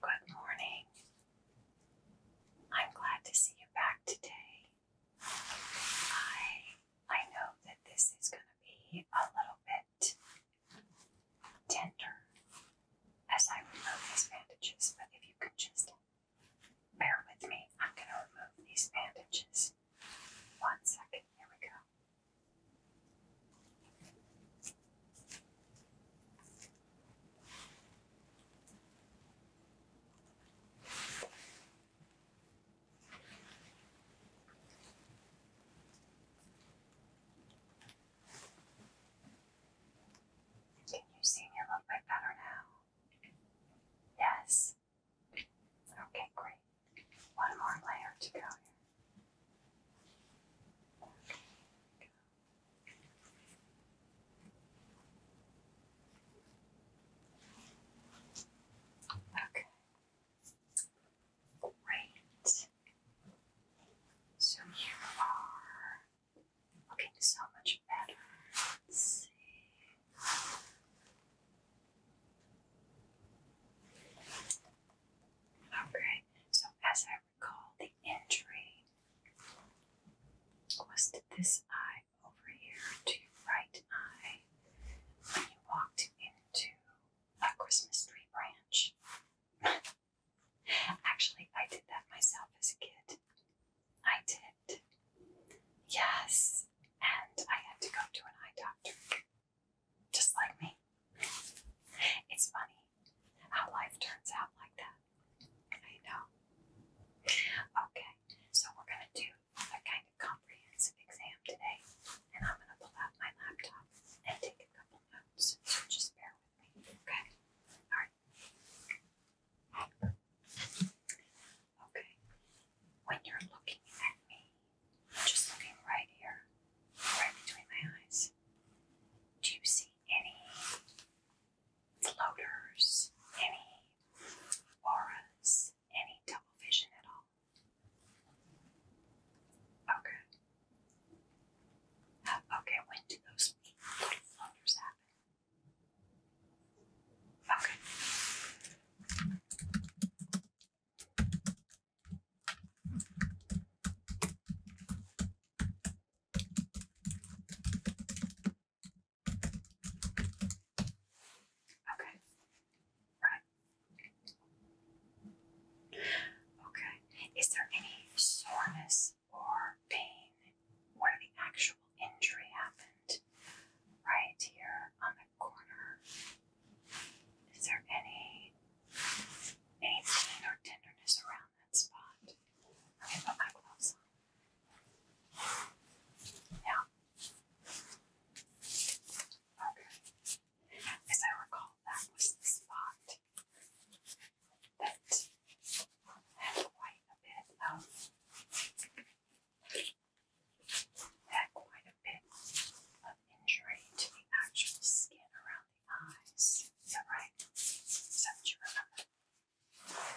Good morning. I'm glad to see you back today. I I know that this is going to be a little bit tender as I remove these bandages, but if you could just bear with me, I'm going to remove these bandages. One second, here we go. Can you see me a little bit better now? Yes. Okay, great. One more layer to go here. Okay. Great. So you are looking so much better. Okay, so as I recall the injury was this eye over here, to your right eye, when you walked into a Christmas tree branch. Actually, I did that myself as a kid. I did. Yes, and I had to go to an eye doctor just like me. It's funny how life turns out like that. I know. Okay, so we're going to do a kind of comprehensive exam today, and I'm going to pull out my laptop and take a couple notes. So just bear with me, okay? All right. Okay, when you're looking at me, just looking right here, right between my eyes. Do you see any floaters, any auras, any double vision at all? Okay. Uh, okay, when do those little floaters happen? Okay. Okay. Right. Okay. Is there any soreness or pain where the actual injury happened? Right here on the corner. Is there any any pain or tenderness around that spot. Okay, put my gloves on. Yeah. Okay. As I recall, that was the spot that had quite a bit of had quite a bit of injury to the actual skin around eyes. Is that right? Is that what you remember? Okay.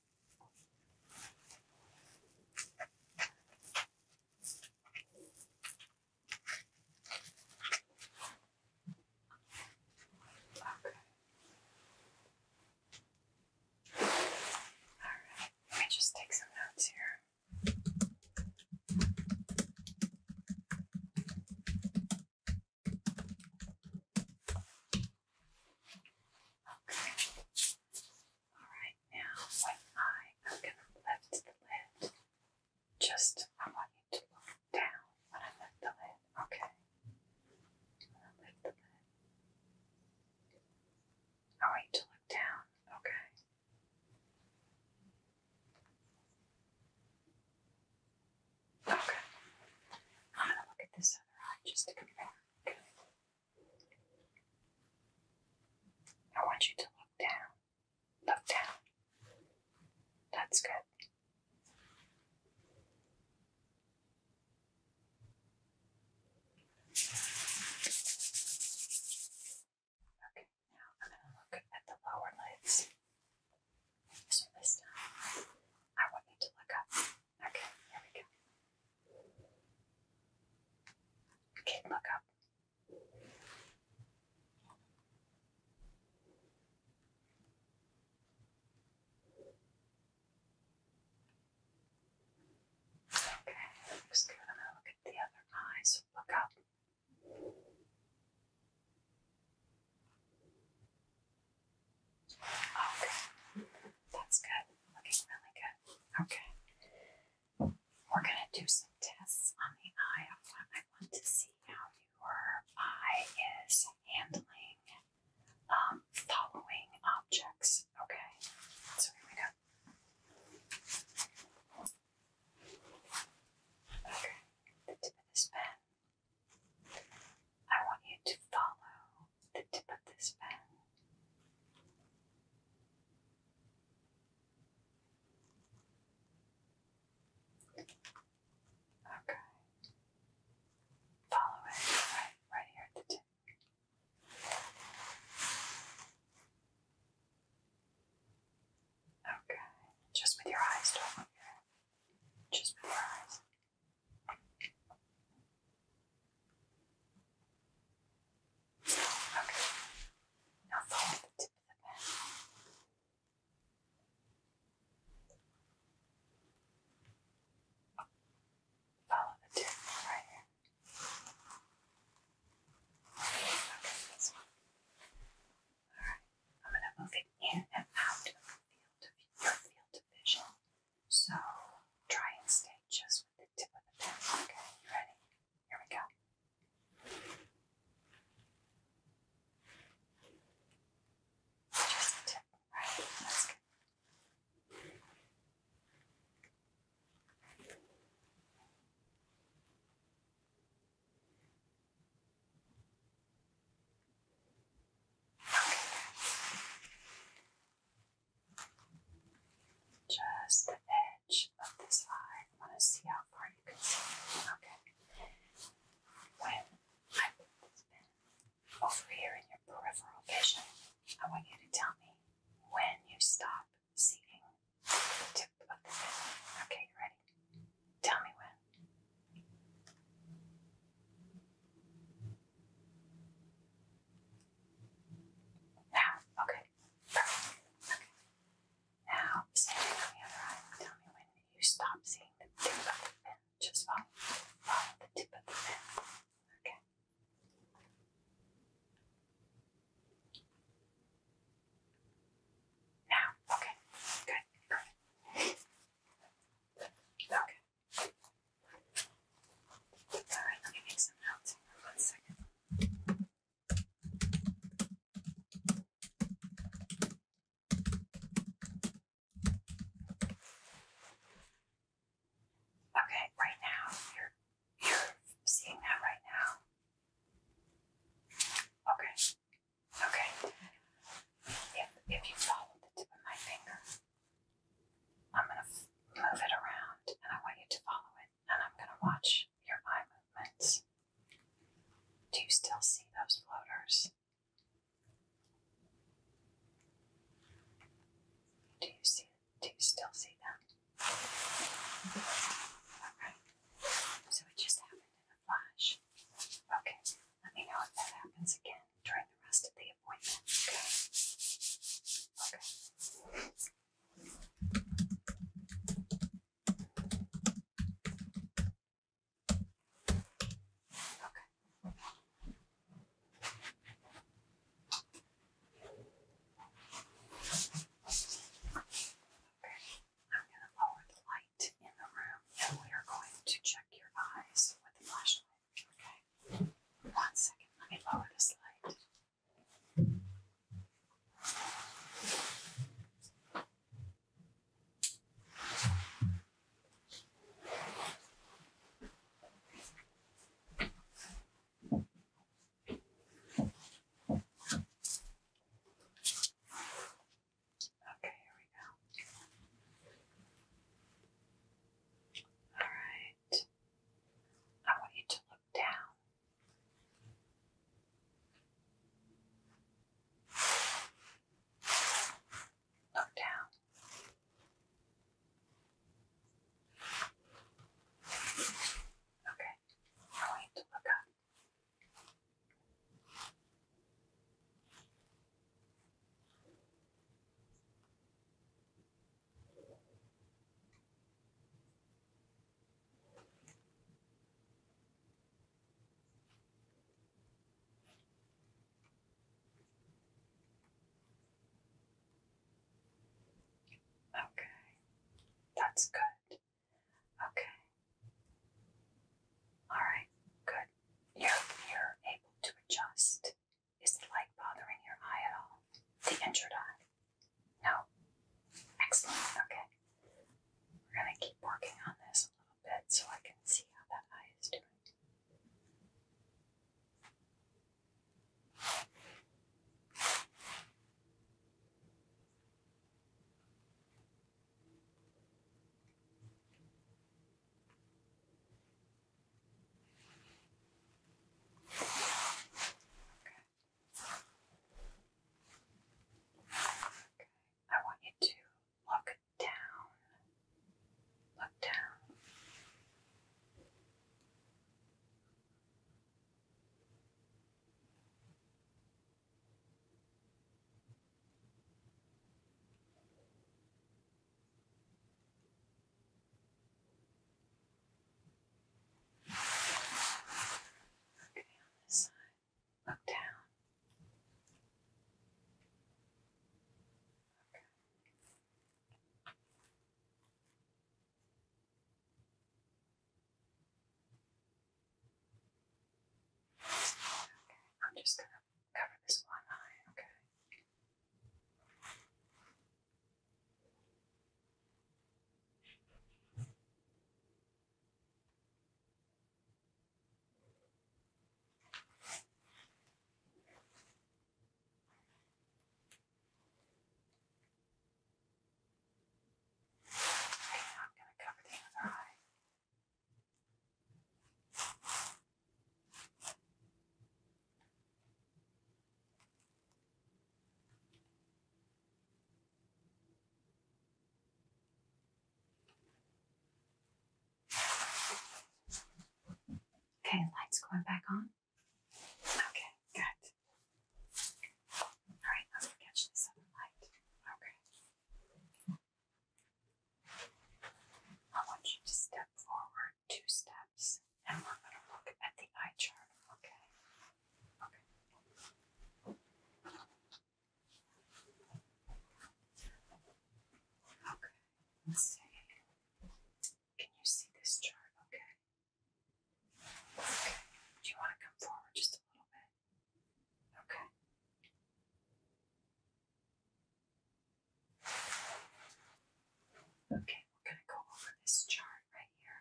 Okay. Alright, let me just take some notes here. Okay. Alright, now one I'm going to lift the lid. Just, I want you to look down when I lift the lid. Okay. i lift the lid. I want you to look down. Okay. Okay. I'm going to look at this other eye just to compare. I want you to look down. Look down. That's good. Okay, now I'm going to look at the lower lids. So this time, I want you to look up. Okay, there we go. Okay, look up. Okay, that looks good. I'm look at the other eye, look up. Okay, that's good. Looking really good. Okay. We're going to do some tests on the eye. I want to see how your eye is handling um, following objects. Okay, so here we go. Okay, the tip of this pen. I want you to follow the tip of this pen. Okay. Follow it right, right here at the tip. Okay. Just with your eyes, don't move your head. Just with your eyes. Okay. Now follow the tip of the pen. Follow the tip right here. Okay, this one. Alright, I'm going to move it in and out of the your field of vision. So try and stay just with the tip of the pen. Okay, ready? Here we go. Just the tip, right? That's good. Just the edge of this eye. I want to see how far you can see. Okay. When I put this pin over here in your peripheral vision, I want you to tell me when you stop seeing the tip of the pin. Okay, you ready? Tell me when. Half. Okay. Perfect. Okay. Now, standing on the other eye, tell me when you stop seeing the tip of the pin. Just follow, the tip of the pin. Okay. Now, okay, good, perfect. Okay, Alright, let me make some notes for one second. Okay, right now, you're you're seeing that right now. Okay. Okay. If if you follow the tip of my finger, I'm going to move it around and I want you to follow it and I'm going to watch your eye movements. Do you still see those floaters? Do you see do you still see them? Okay. So it just happened in a flash. Okay. Let me know if that happens again during the rest of the appointment. Okay. Okay. Okay. Okay. I'm going to lower the light in the room and we are going to check your eyes with the flashlight. Okay. One second. Let me lower the slide. Okay, here we go. All right. I want you to look down. Look down. Okay. I want you to look up. Okay, that's good. Okay. All right, good. You're, you're able to adjust. Is the like bothering your eye at all? The injured eye? No? Excellent. Okay. We're going to keep working on this a little bit so I can see how that eye is doing. Okay. Okay. I want you to look down. Look down. Okay. Okay, on this side. Look down. Okay. Okay, I'm just going to Cover this one eye, okay. now I'm going to cover the other eye. Okay, lights going back on. Okay, good. All right, let's catch this other light. Okay. I want you to step forward two steps and we're going to look at the eye chart, okay? Okay. Okay, let's see. Can you see this chart? Okay. Okay. Do you want to come forward just a little bit? Okay. Okay, we're going to go over this chart right here,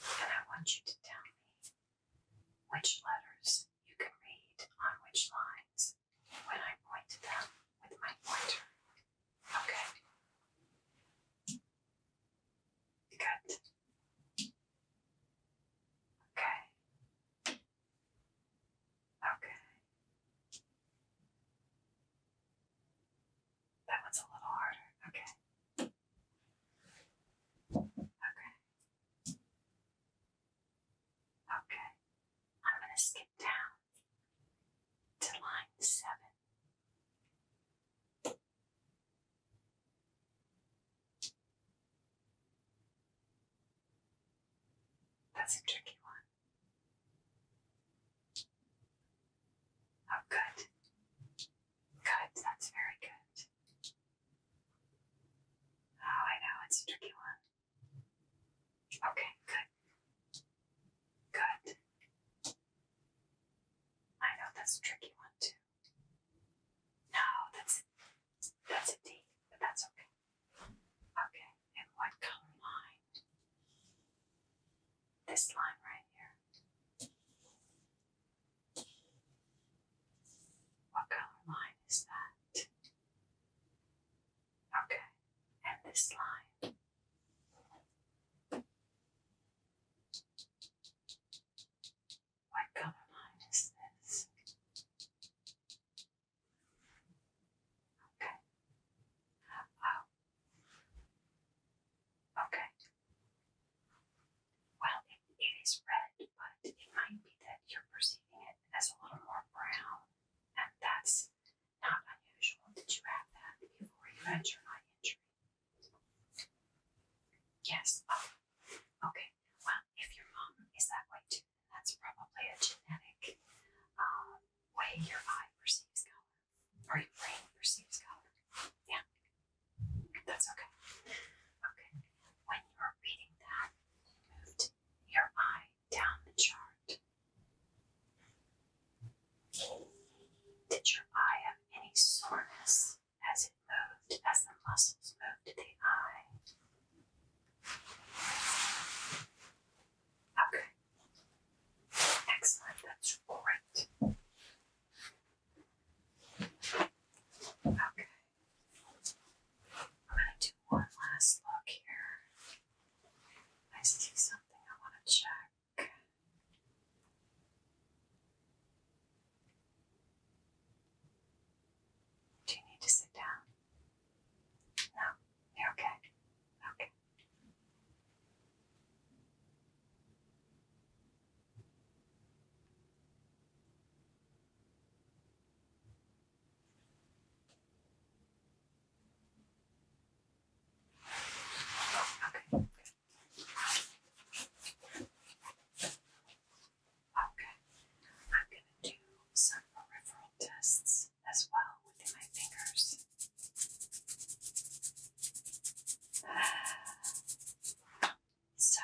and I want you to tell me which letters you can read on which lines when I point to them with my pointer. Okay. Good. Okay. Okay. That one's a little harder. Okay. Okay. Okay. I'm going to skip down to line seven. That's a tricky one. Oh, good. Good, that's very good. Oh, I know, it's a tricky one. Okay, good. Good. I know that's a tricky one, too. No, that's that's a D, but that's okay. Okay, and what color line? This line right here. What color line is that? Okay, and this line. What color line is this? Okay. Wow. Oh. Okay. Well, it, it is red, but it might be that you're perceiving it as a little more brown, and that's not unusual. Did you have that before you had your eye injury? Yes. Oh. Okay. Well, if your mom is that way too, that's probably a genetic um, way your eye perceives color or your brain perceives color. Yeah, that's okay. Okay, when you're reading that, moved your eye down the chart. Did your eye have any soreness as it moved, as the muscles moved the eye? Okay. Excellent. That's great. Okay. I'm going to do one last look here. I see something I want to check. Do you need to sit down? No, you're okay. Okay. Okay. Okay. I'm going to do some peripheral tests as well within my fingers. So,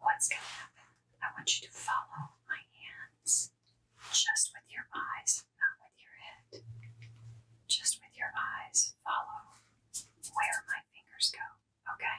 what's going to happen? I want you to follow my hands just with your eyes, not with your head. Just with your eyes, follow where my fingers go, okay?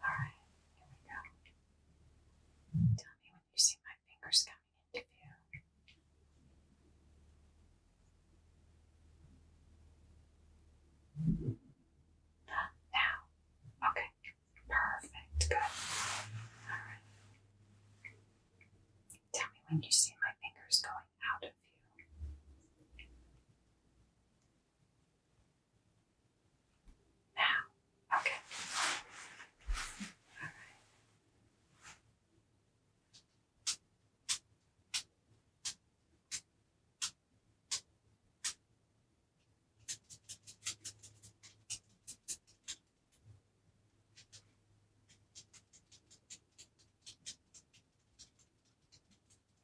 All right, here we go. Tell me when you see my fingers coming into view. Now, okay, perfect, good. All right. Tell me when you see my fingers going out of you. Now, okay. All right.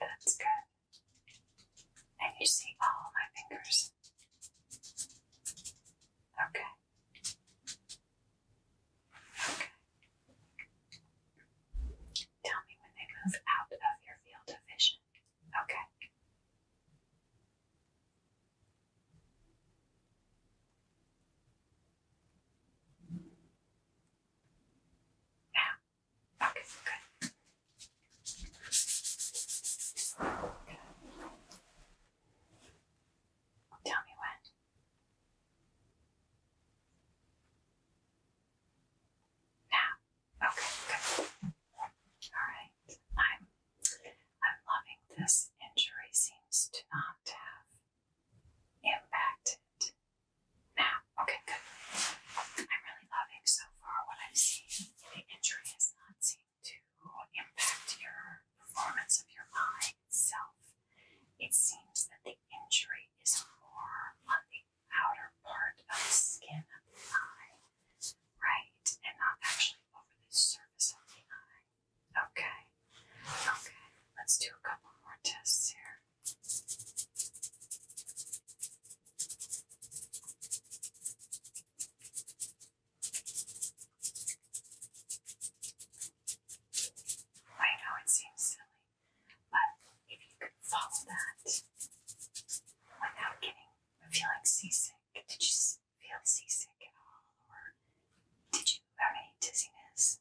That's good. And you see all my fingers. Okay. Okay. Tell me when they move out of your field of vision. Okay. Yeah. Okay, good. Tell me when. Now. Okay, good. Alright. I'm I'm loving this injury seems to not have impacted. Now, okay, good. I'm really loving so far what I'm seeing. The injury is not seeming to impact your performance of your eye itself. It seems that the injury is more on the outer part of the skin of the eye, right, and not actually over the surface of the eye. Okay. Okay. Let's do a couple more tests here. I know it seems silly, but if you could follow that without getting feeling seasick, did you feel seasick at all, or did you have any dizziness?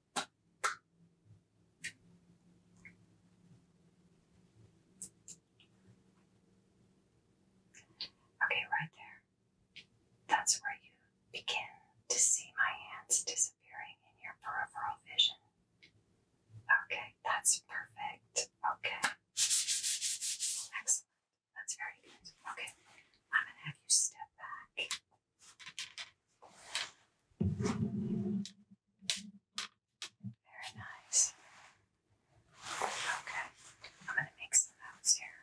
Okay, right there. That's where you begin to see my hands disappearing in your peripheral vision. Okay, that's perfect. Okay. Excellent. That's very good. Okay. I'm gonna have you step back. Very nice. Okay, I'm going to make some notes here.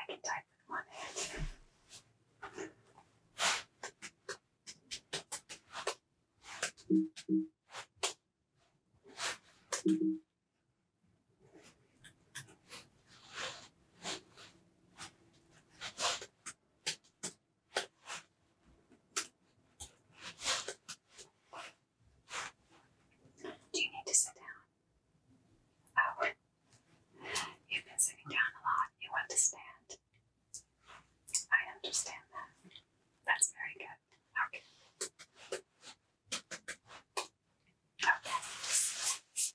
I can type with one hand. Do you need to sit down? Oh, you've been sitting down a lot. You want to stand. I understand that. That's very good. Okay. Okay. Okay.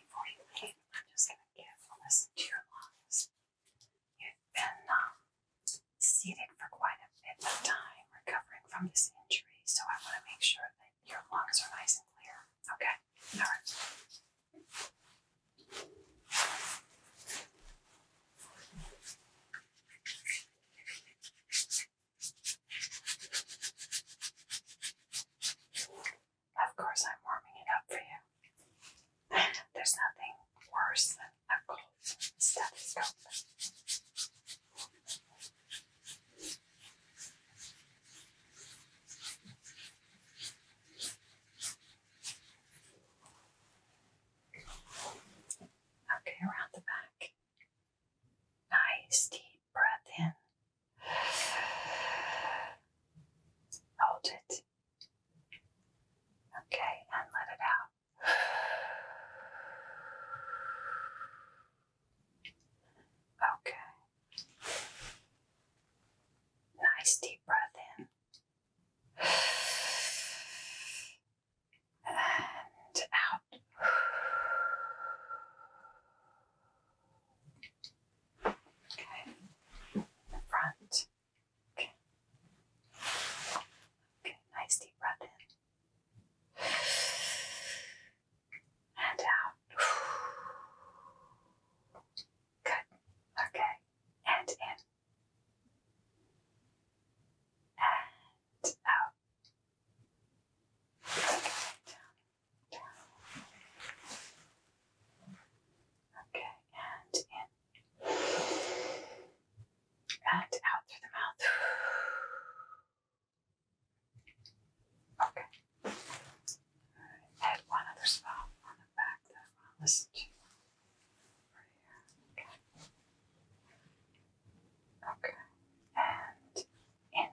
Before you leave, I'm just going to carefully listen to your lungs. You've been seated for quite a bit of time recovering from this injury, so I want to make sure that your lungs are nice and clear. Okay? All right. Of course, I'm warming it up for you. There's nothing worse than a cold stethoscope. Okay, around the back. Nice deep breath in. Hold it. Okay, and let it out. Okay. Nice deep breath in and out. Okay, in the front. Okay. nice deep breath in. And out. Good. Okay. And in and out. Down, down. Okay, and in. And out through the mouth. Okay. Add one other spot back I want listen to. Right Okay. Okay. And in.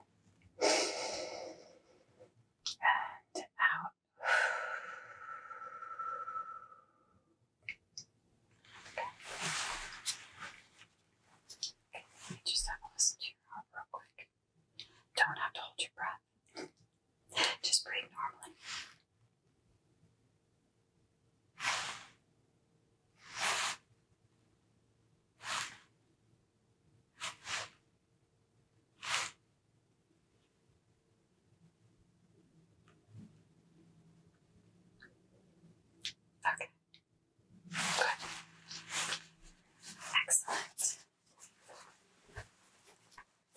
And out. okay. Let me just have a listen to your heart real quick. Don't have to hold your breath. Just breathe normally. Okay. Good. Excellent.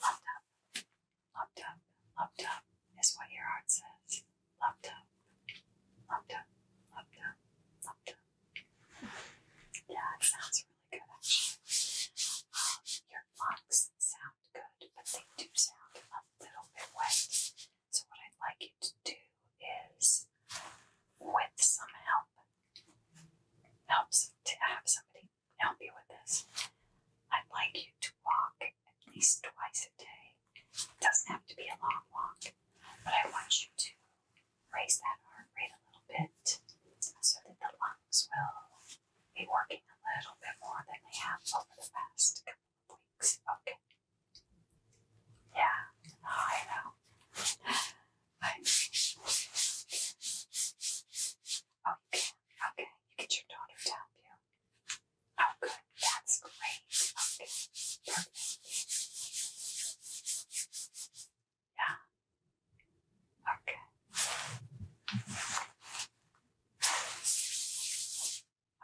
Well done. Lumped up, lumped up is what your heart says. Lumped up, lumped up, lumped up, lumped up. Yeah, it sounds really good actually. Um, your lungs sound good, but they do sound a little bit wet. So, what I'd like you to do is, with some help, helps to have somebody help you with this. I'd like you to walk at least twice a day. It doesn't have to be a long walk, but I want you to raise that heart rate a little bit so that the lungs will be working a little bit more than they have over the past couple of weeks. Okay. Yeah, I know. I Oh, you can. Okay, you get your daughter to help you. Oh, good. That's great. Okay, perfect. Yeah. Okay.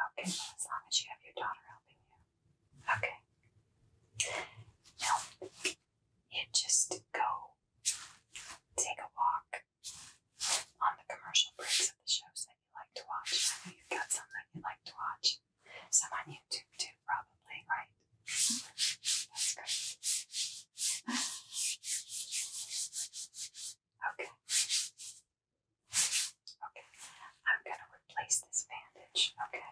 Okay, as long as you have your daughter helping you. Okay. Now, you just go take a walk on the commercial breaks of the shows that you like to watch. I know you've got some that you like to watch. Some on YouTube too, probably, right? Okay. Okay. I'm gonna replace this bandage, okay?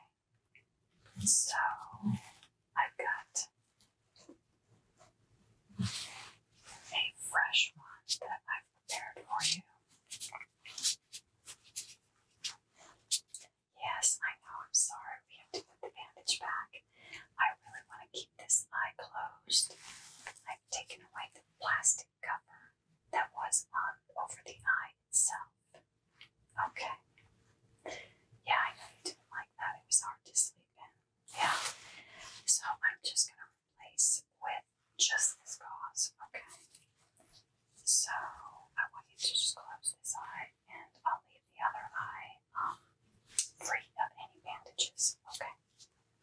So I've got a fresh one that I've prepared for you. Yes, I know, I'm sorry we have to put the bandage back. I really want to keep this eye closed. I've taken away the plastic cover that was on over the eye itself. Okay. Yeah, I know you didn't like that. It was hard to sleep in. Yeah. So I'm just going to replace with just this gauze, okay? So I want you to just close this eye and I'll leave the other eye um, free of any bandages, okay?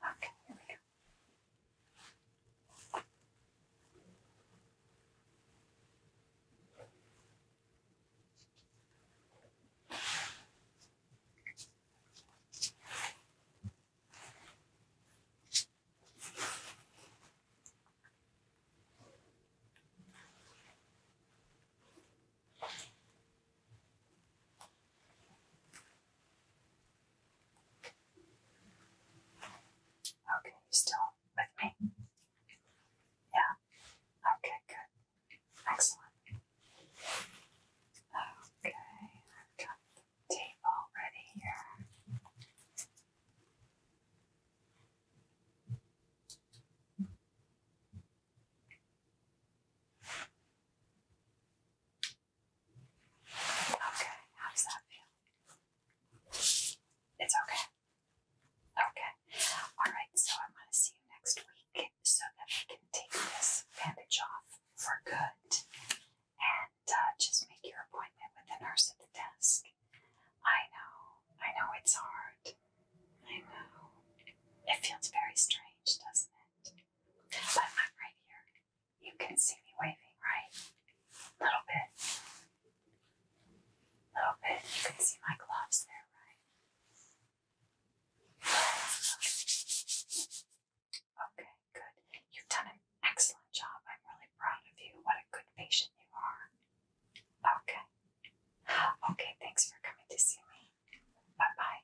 Okay, here we go. Okay. Okay, you still with me? Yeah. Okay, good. Excellent. Okay, I've got the tape ready here. Okay, how does that feel? It's okay. Okay. All right, so I'm going to see you next week so that we can take this bandage off for good and uh, just make your appointment with the nurse at the desk. I know, I know it's hard. I know. It feels very strange, doesn't it? But I'm right here. You can see me waving, right? A little bit. little bit. You can see my gloves there, right? Okay, good. You've done an excellent job. I'm really proud of you. What a good patient you are. Okay. Okay, thanks for coming to see me. Bye bye.